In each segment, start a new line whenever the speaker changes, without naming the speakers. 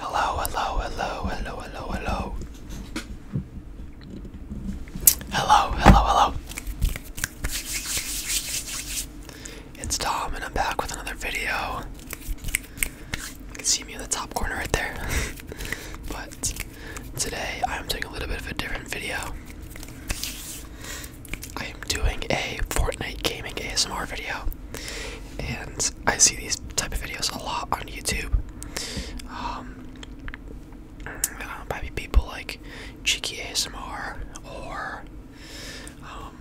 Hello, hello, hello, hello, hello, hello. Hello, hello, hello. It's Tom, and I'm back with another video. You can see me in the top corner right there. but today I'm doing a little bit of a different video. I am doing a Fortnite gaming ASMR video and I see these type of videos a lot on YouTube. maybe um, uh, people like Cheeky ASMR or um,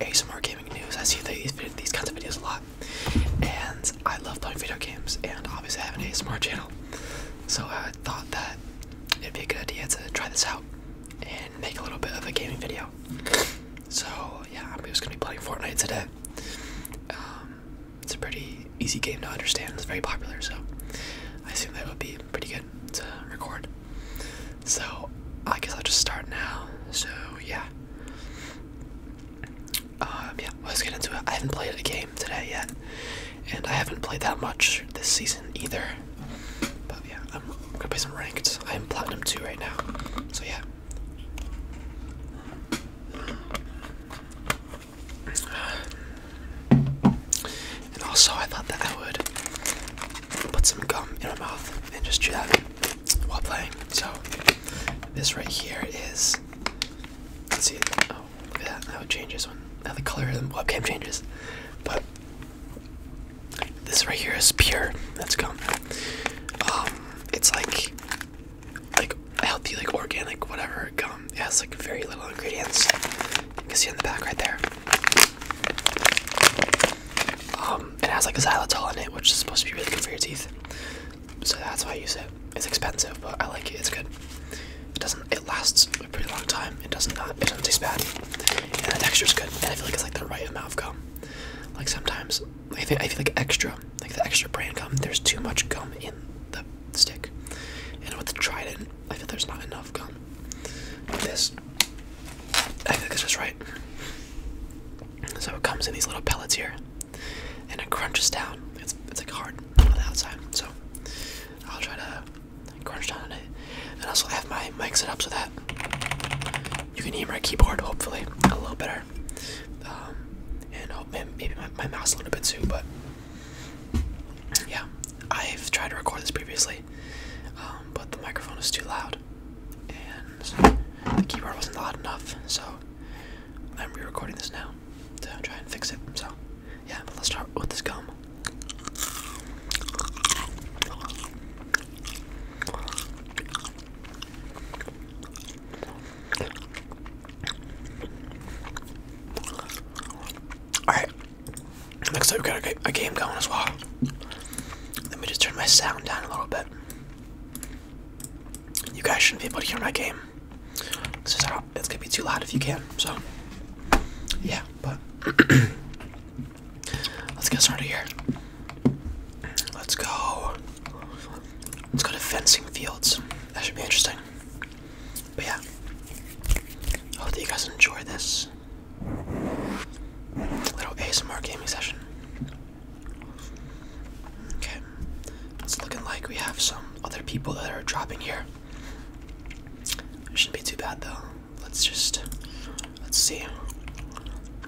ASMR Gaming News. I see these these kinds of videos a lot, and I love playing video games. And obviously, I have an ASMR channel, so I thought that it'd be a good idea to try this out and make a little bit of a gaming video. So yeah, I'm just gonna be playing Fortnite today. Um, it's a pretty easy game to understand. It's very popular, so I assume that would be pretty good to record. So I guess I'll just start now. So yeah. Um, yeah, let's get into it. I haven't played a game today yet, and I haven't played that much this season either. But yeah, I'm gonna play some ranked. I am platinum 2 right now. So yeah. And also, I thought that I would put some gum in my mouth and just do that while playing. So, this right here is. Let's see. Oh, look at That how it changes one. How the color of the webcam changes. But this right here is pure. Let's go. Um, it's like like healthy, like organic, whatever gum. It has like very little ingredients. You can see in the back right there. Um, it has like a xylitol in it, which is supposed to be really good for your teeth. So that's why I use it. It's expensive, but I like it. It's good. It doesn't. It lasts a pretty long time. It doesn't not. It doesn't taste bad, and the texture is good. And I feel like it's like the right amount of gum. Like sometimes I feel, like extra, like the extra brand gum, there's too much gum in the stick. And with the Trident, I feel there's not enough gum. this, I think it's just right. So it comes in these little pellets here, and it crunches down. It's it's like hard on the outside, so I'll try to crunch down on it and also have my mic set up so that you can hear my keyboard hopefully a little better. Um, and oh, maybe my, mouse a little bit too, but yeah, I've tried to record this previously, um, but the microphone was too loud, and the keyboard wasn't loud enough, so I'm re-recording this now to try and fix it. So yeah, let's start with this gum. Alright, looks like we've got a game going as well. Let me just turn my sound down a little bit. You guys shouldn't be able to hear my game. It's, just, it's gonna be too loud if you can, so.
Yeah, but.
Let's get started here. Let's go. Let's go to fencing fields. That should be interesting. But yeah, I hope that you guys enjoy this little ASMR gaming session. Okay, it's looking like we have some other people that are dropping here. shouldn't be too bad though let's just let's see.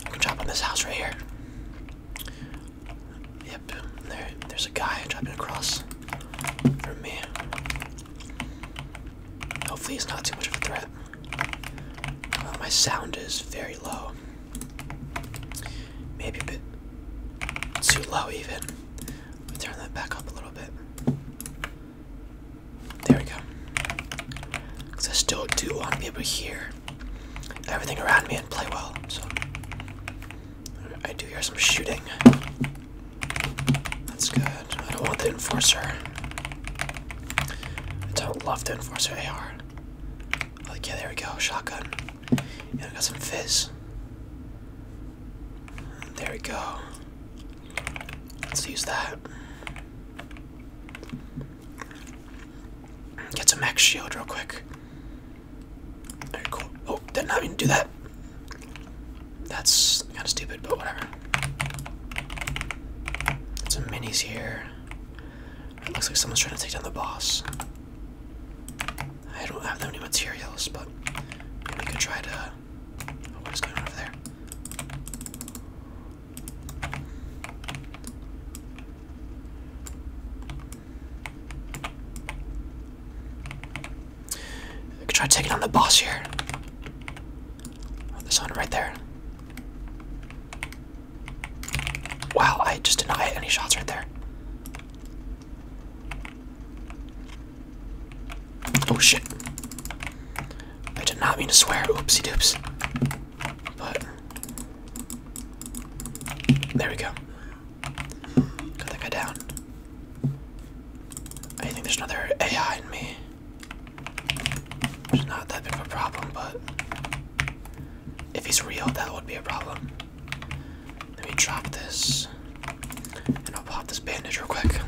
I can drop on this house right here. Yep, there there's a guy dropping across from me. Hopefully he's not too much of a threat. Uh, my sound is very low. Maybe a bit too low even. Let me turn that back up a little bit. There we go. Because I still do want to be able to hear everything around me and play well. So I do hear some shooting. That's good. I don't want the enforcer. I don't love the enforcer AR. Like yeah, there we go. Shotgun. Yeah, I got some fizz. There we go. Let's use that. Get some max shield real quick. Very cool. Oh, did not even do that. That's kind of stupid, but whatever. Some minis here. looks like someone's trying to take down the boss. I don't have that many materials, but we could try to I could try taking on the boss here. This one right there. Wow, I just did not hit any shots right there. Oh shit. I did not mean to swear. Oopsie doops. But. There we go. Got that guy down. I think there's another AI in me. Which not that big of a problem, but. If he's real, that would be a problem. Let me drop this. And I'll pop this bandage real quick.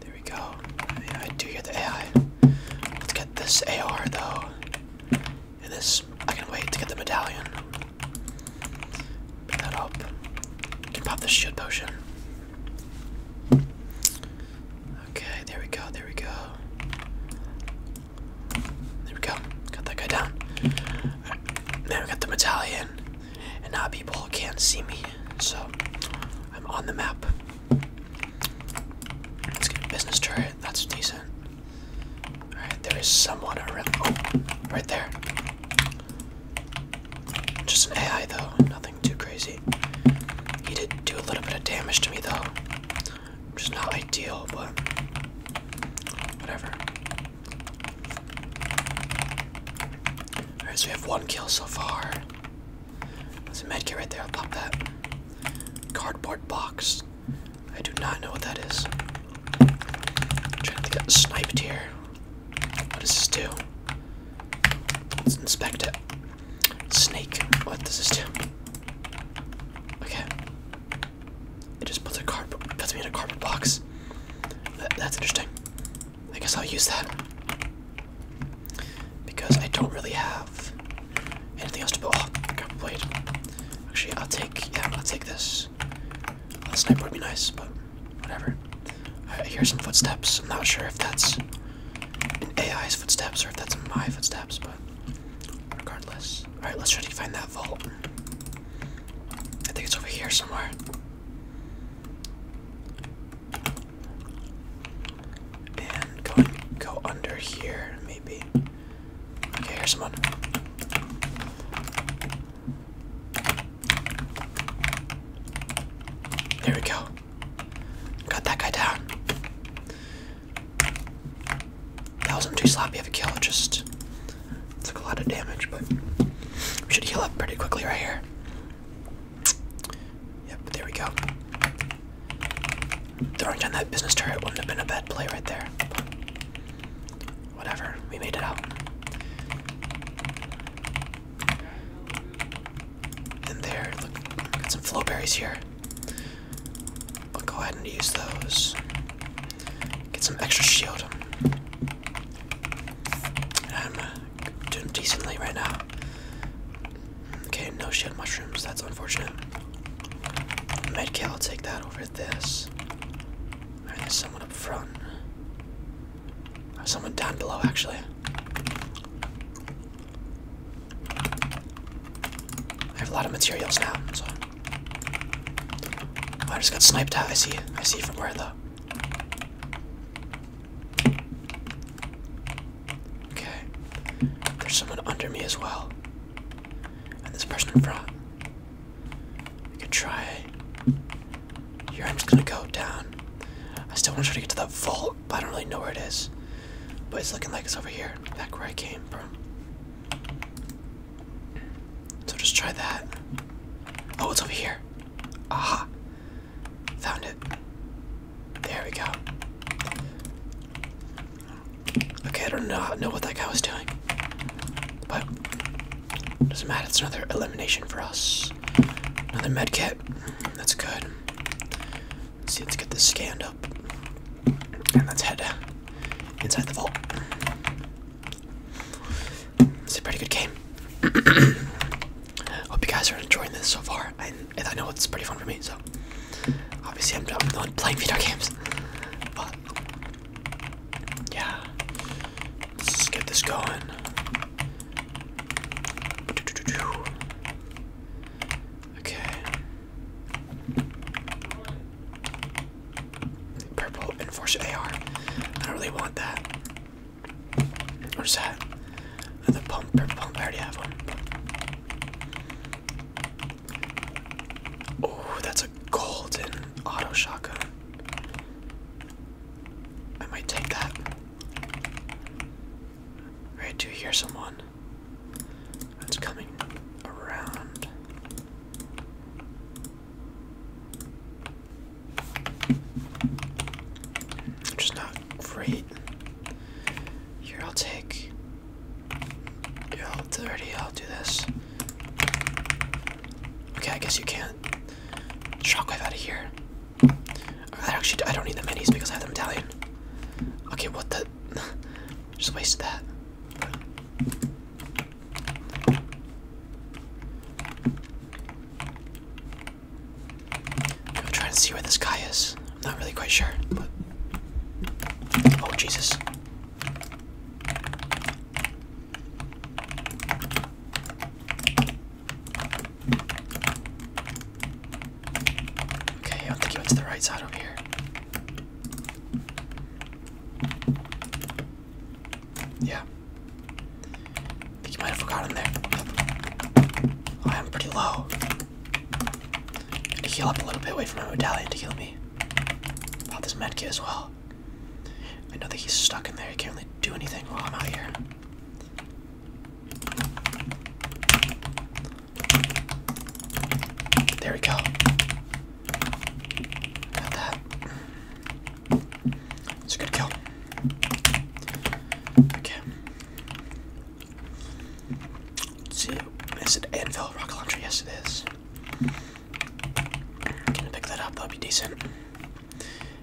There we go. I do hear the AI. Let's get this AR though. And this, I can wait to get the medallion. Pick that up. can pop this shit potion.
Okay, there we go, there we go.
There we go. Got that guy down. Now we got the medallion and now people can't see me. So I'm on the map. Let's get a business turret. That's decent. All right, there is someone around. Oh, right there. Just an AI though, nothing too crazy. He did do a little bit of damage to me though, Just not ideal, but whatever. Alright, so we have one kill so far. There's a medkit right there, I'll pop that. Cardboard box. I do not know what that is.
I'm
trying to get sniped here. What does this do? Let's inspect it. Snake. What does this do? Okay. It just puts a cardboard puts me in a cardboard box. that's interesting. I guess I'll use that. Because I don't really have anything else to put. Oh, I got blade. Actually, I'll take, yeah, I'll take this. A sniper would be nice, but whatever. I hear some footsteps. I'm not sure if that's AI's footsteps or if that's my footsteps, but regardless. Alright, let's try to find that vault. I think it's over here somewhere. And go go under here, maybe. Okay, here's someone. There we go. Got that guy down. That wasn't too sloppy of a kill, it just took a lot of damage, but we should heal up pretty quickly right here. Yep, there we go. Throwing down that business turret wouldn't have been a bad play right there. Whatever, we made it out. And there, look, got some flowberries here. I'll go ahead and use those. Get some extra shield. Um, doing decently right now. Okay, no shed mushrooms. That's unfortunate. Medkit, I'll take that over this. there's someone up front. Someone down below, actually. I have a lot of materials now, so. I just got sniped I see. I see from where, though. Okay. There's someone under me as well. And this person in front. I could try. Here, I'm just gonna go down. I still want to try to get to that vault, but I don't really know where it is. But it's looking like it's over here, back where I came from. So just try that. Oh, it's over here. Aha! Found it. There we go. Okay, I don't know, know what that guy was doing. But, doesn't matter, it's another elimination for us. Another medkit. That's good. see, let's get this scanned up. And let's head inside the vault. It's a pretty good game. Hope you guys are enjoying this so far, and, I know it's pretty fun for me. So obviously, I'm, I'm not playing video games, but yeah, let's just get this going. Okay. Purple enforcer AR. I don't really want that. Where's that? the pump, pump. I already have one. Oh, that's a golden auto shotgun. I might take that. Right, do you hear someone. That's coming around. Just not great. Here, I'll take. Here, I'll dirty. I'll do this. Okay, I guess you can't. Shockwave out of here. I actually I don't need the minis because I have the medallion. Okay, what the? Just wasted that. I'm trying to see where this guy is. I'm not really quite sure, oh Jesus. Okay, I don't think he went to the right side over here. Yeah. I think you might have forgotten there. I am pretty low. I need to heal up a little bit, wait for my medallion to heal me. Pop this medkit as well. I know that he's stuck in there, he can't really do anything while I'm out here. There we go. Got that. It's a good kill. Okay. let Is it Anvil Rocket Launcher? Yes, its I'm gonna pick that up. That'll be decent.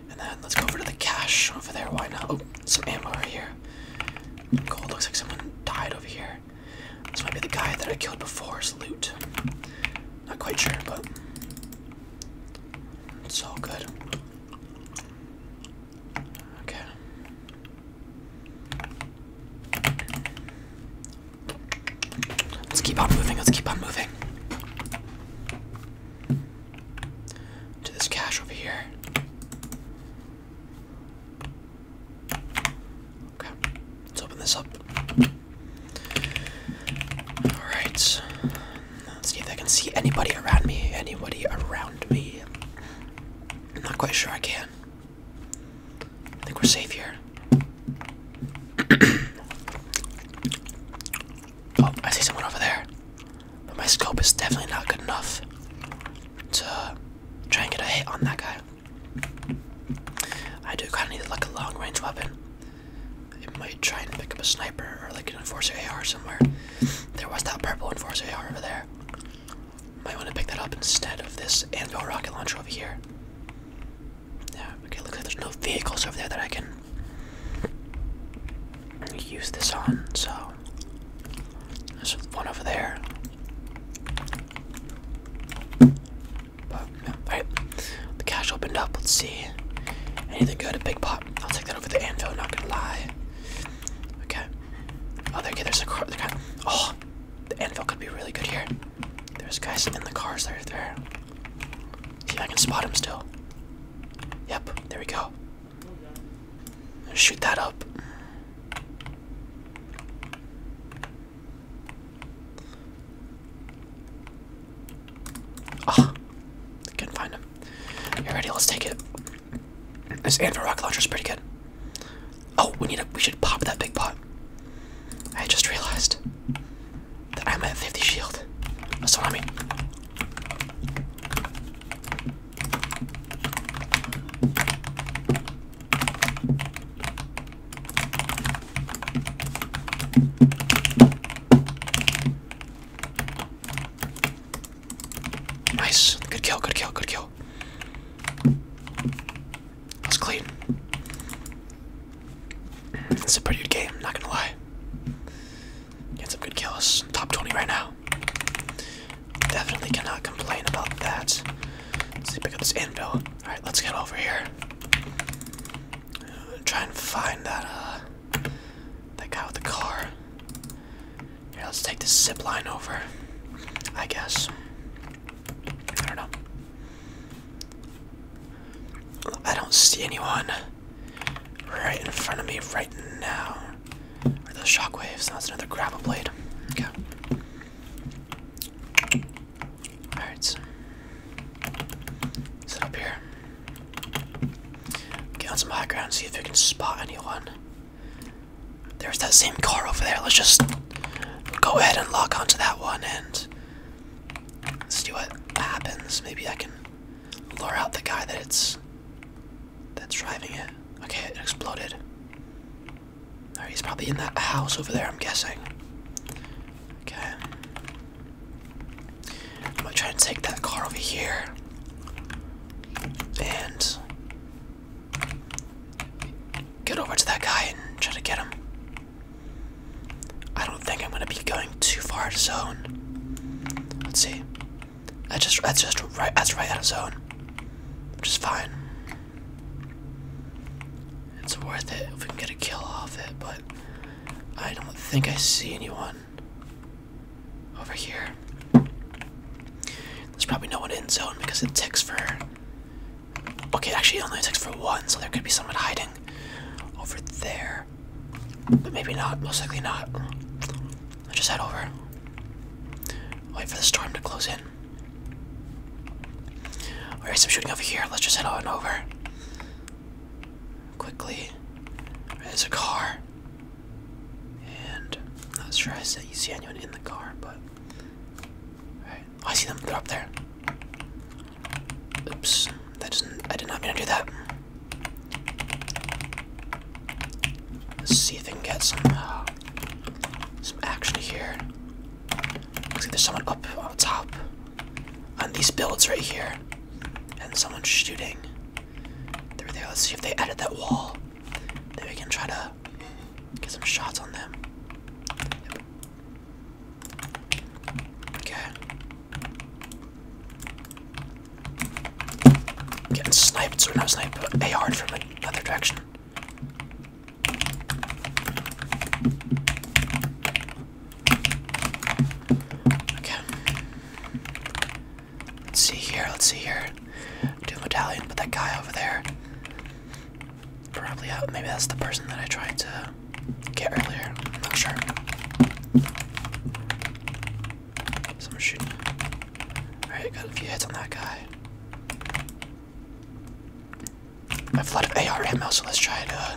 And then let's go over to the cache over there. Why not? Oh, some ammo right here. Cool. Looks like someone died over here. This might be the guy that I killed before's loot. Not quite sure, but it's all good. Okay. Let's keep on moving, let's keep on moving. To this cache over here. Okay, let's open this up. Alright. Let's see if I can see anybody around me. Anybody around me. I'm not quite sure I can. I think we're safe here. oh, I see someone over there. But my scope is definitely not good enough to try and get a hit on that guy. I do kind of need like a long range weapon. I might try and pick up a sniper or like an enforcer AR somewhere. There was that purple enforcer AR over there. Might want to pick that up instead of this anvil rocket launcher over here. Yeah, okay, looks like there's no vehicles over there that I can use this on, so there's one over there alright. The cash opened up, let's see. Anything good? A big pot. I'll take that over the anvil, not gonna lie. Okay. Oh there okay, there's a car oh the anvil could be really good here. There's guys in the cars that there. See if I can spot him still. Yep, there we go. Shoot that up. Ah, oh, couldn't find him. You ready? Let's take it. This anvil Rock launcher is pretty good. Oh, we need a. We should pop that big pot. I just realized that I'm at 50 shield. That's what I mean. Nice. Good kill, good kill, good kill. That was clean. It's a pretty good game, not gonna lie. Get some good kills. Top 20 right now. Definitely cannot complain about that. Let's see, pick up this anvil. All right, let's get over here. Try and find that uh, that guy with the car. Here, let's take this zip line over. I guess. I don't know. I don't see anyone right in front of me right now. Are those shockwaves? That's another grapple blade. Okay. Alright, so up here. Get on some high ground, see if we can spot anyone. There's that same car over there. Let's just go ahead and lock onto that one and let's see what happens. Maybe I can lure out the guy that's that's driving it. Okay, it exploded he's probably in that house over there, I'm guessing. Okay. I'm gonna try and take that car over here. And get over to that guy and try to get him. I don't think I'm gonna be going too far out of zone. Let's see. That's just that's just right that's right out of zone. Which is fine. It's worth it if we can get a kill off it, but I don't think I see anyone over here. There's probably no one in zone because it ticks for. Okay, actually, only ticks for one, so there could be someone hiding over there. But maybe not, most likely not. I'll just head over. Wait for the storm to close in. Alright, so I'm shooting over here. Let's just head on over. Quickly. There's a car. And I'm not sure I see anyone in the car, but oh, I see them. they up there. Oops. That doesn't I did not mean to do that. Let's see if I can get some uh, some action here. Looks like there's someone up on top on these builds right here. And someone's shooting through there. Let's see if they edit that wall. Then we can try to get some shots on them. Okay. Getting sniped, or not snipe. but ar from another direction. Okay. Let's see here, let's see here. Do a medallion, but that guy over there. Probably out. Uh, maybe that's the person that I tried to get earlier. I'm not sure. Someone's shooting. Alright, got a few hits on that guy. I've flooded AR ammo, so let's try to uh,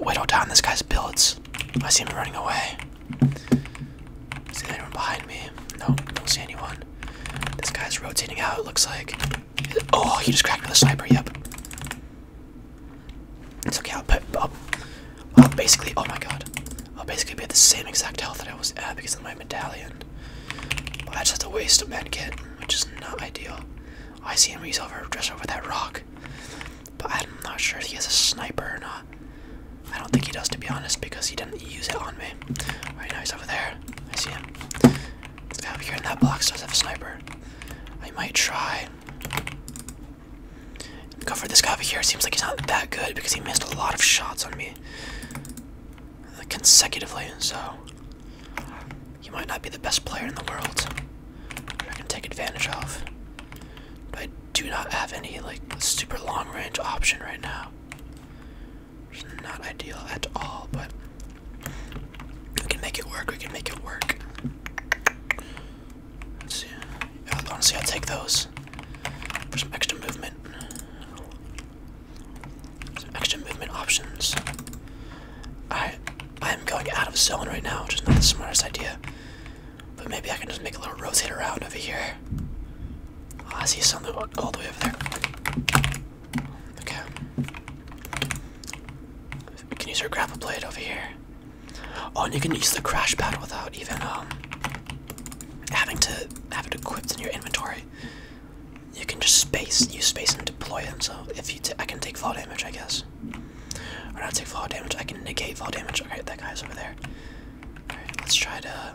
whittle down this guy's builds. I see him running away. Is anyone behind me? Nope, don't see anyone. This guy's rotating out, it looks like. Oh, he just cracked with a sniper, yep. It's okay, I'll, put, i basically, oh my god. I'll basically be at the same exact health that I was at because of my medallion perfect. Well, that's just a waste of medkit, which is not ideal. I see him, he's over, just over that rock. But I'm not sure if he has a sniper or not. I don't think he does, to be honest, because he didn't use it on me. Right now he's over there. I see him. over here in that box does have a sniper. I might try. Go for this guy over here. Seems like he's not that good because he missed a lot of shots on me consecutively, so you might not be the best player in the world. I can take advantage of. But I do not have any like super long range option right now. Which not ideal at all, but we can make it work, we can make it work. Let's see. honestly I'll take those. For some extra movement. Some extra movement options. I I am going out of zone right now, which is not the smartest idea. But maybe I can just make a little rotate around over here. Oh, I see something all the way over there. Okay. We can use our grapple blade over here. Oh, and you can use the crash pad without even um having to have it equipped in your inventory you can just space, use space and deploy them. So if you, I can take fall damage, I guess. Or not take fall damage. I can negate fall damage. Okay, that guy's over there. All right, let's try to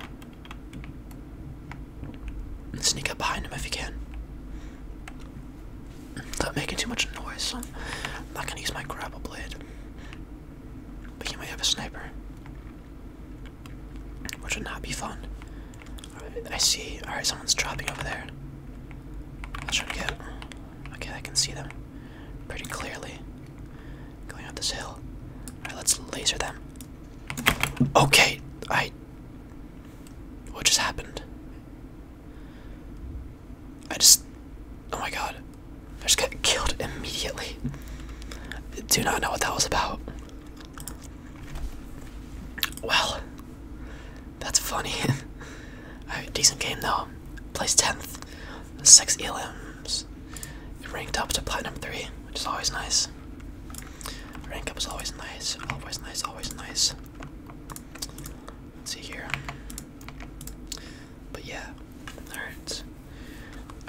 sneak up behind him if you can. Not making too much noise. So I'm not gonna use my grapple blade. But you may have a sniper. Which would not be fun. Alright, I see. Alright, someone's dropping over there. I'll try to get. Okay, I can see them pretty clearly going up this hill. Alright, let's laser them. Okay, I. What just happened? I just. Oh my god. I just got killed immediately. Do not know what that was about. Well, that's funny. A decent game though. Placed 10th, 6 elims. ranked up to Platinum 3, which is always nice. Rank up is always nice, always nice, always nice. Let's see here. But yeah, alright.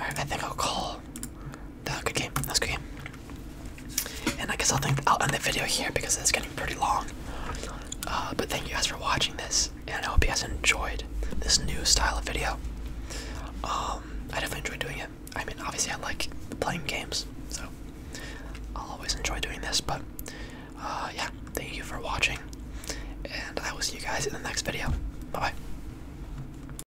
Alright, I think I'll call that good game. That's good game. And I guess I'll think I'll end the video here because it's getting pretty long. Uh, but thank you guys for watching this, and I hope you guys enjoyed this new style of video. Um, I definitely enjoy doing it. I mean, obviously, I like playing games, so I'll always enjoy doing this. But
uh, yeah, thank you for watching, and I will see you guys in the next video. Bye bye.